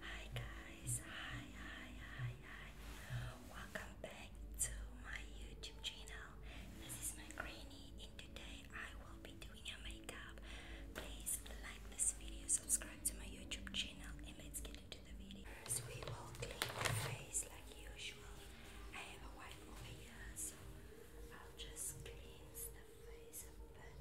Hi guys, hi, hi, hi, hi. Welcome back to my YouTube channel. This is my granny and today I will be doing a makeup. Please like this video, subscribe to my YouTube channel and let's get beginning we will clean the face like usual. I have a wipe over here, so I'll just cleanse the face a bit.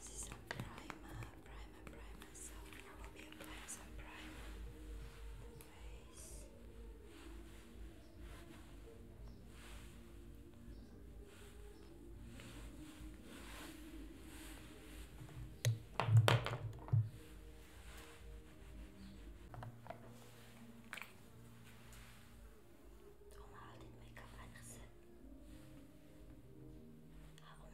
This is a primer on primer, I will be applying some primer on the face. Toen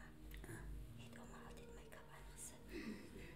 had ik make-up make-up aangezet?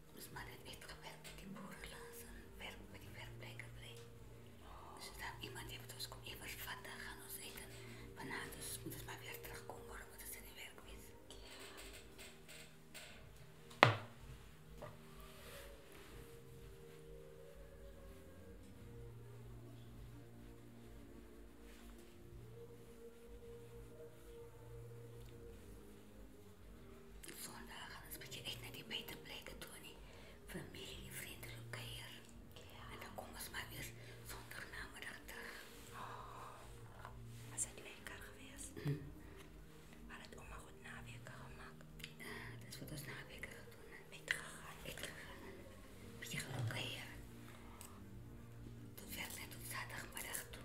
Dus maar heeft echt gewerkt met die boerenlaars en werkt met die werkplekken brengt. Dus dan iemand heeft ons kom even vatten, gaan ons eten. van Vanavond dus moeten ze maar weer terugkomen, morgen moeten ze in die werk wezen. Sonra Hannesbeke echt naar die beter plekken toe. Nie. Familie, vrienden, keer. En dan komen ze maar weer zondag namiddag terug. Oh, we zijn lekker geweest. Hm. had het oma goed naweken gemaakt. Ja, dat is wat ons naweken gedaan. Beter gegaan. Beter gegaan. Beetje gelukkig hier. Tot werd net tot zaterdagmiddag toe.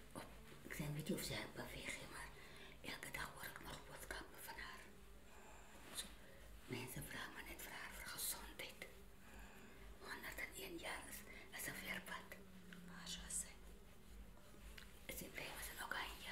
ik denk niet of zij beweging, maar elke dag hoor ik nog kappen van haar. mensen vragen me net voor haar gezondheid. 101 jaar is, is een verpad. Masha zei. Is in blij met een oranje?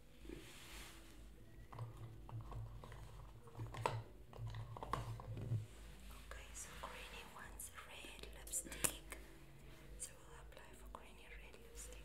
Okay, so Greeny wants red lipstick, so we'll apply for Greeny red lipstick.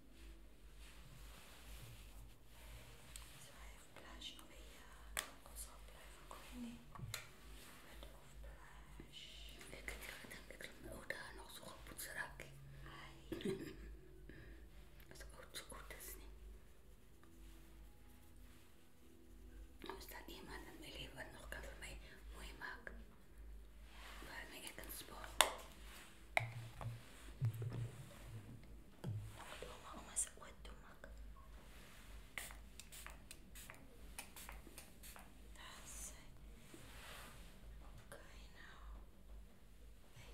Zij heeft blush nog weer ons blijven komen. Met of blush. Ik mijn het nog zo zou raak. Dat is ook zo goed, is niet. Als daar iemand in mijn leven nog kan voor mij mooi maken, Ладно, я конспол. Дома у нас отдумок. That's okay now. Hey.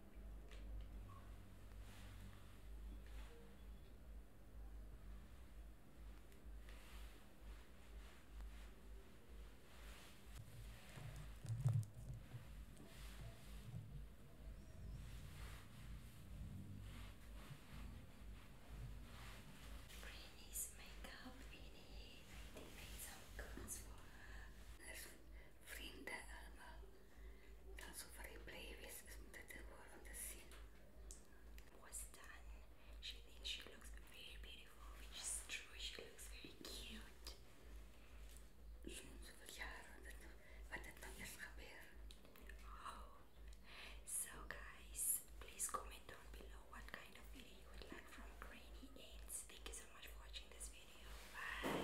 Brittany's makeup in here. I some glass for her. Frinda Sono superimplied that the world on the scene was done. She thinks she looks very beautiful, which true. She looks very cute. Oh. so guys, please comment down below what kind of video you would like from Granny Aids. Thank you so much for watching this video. Bye.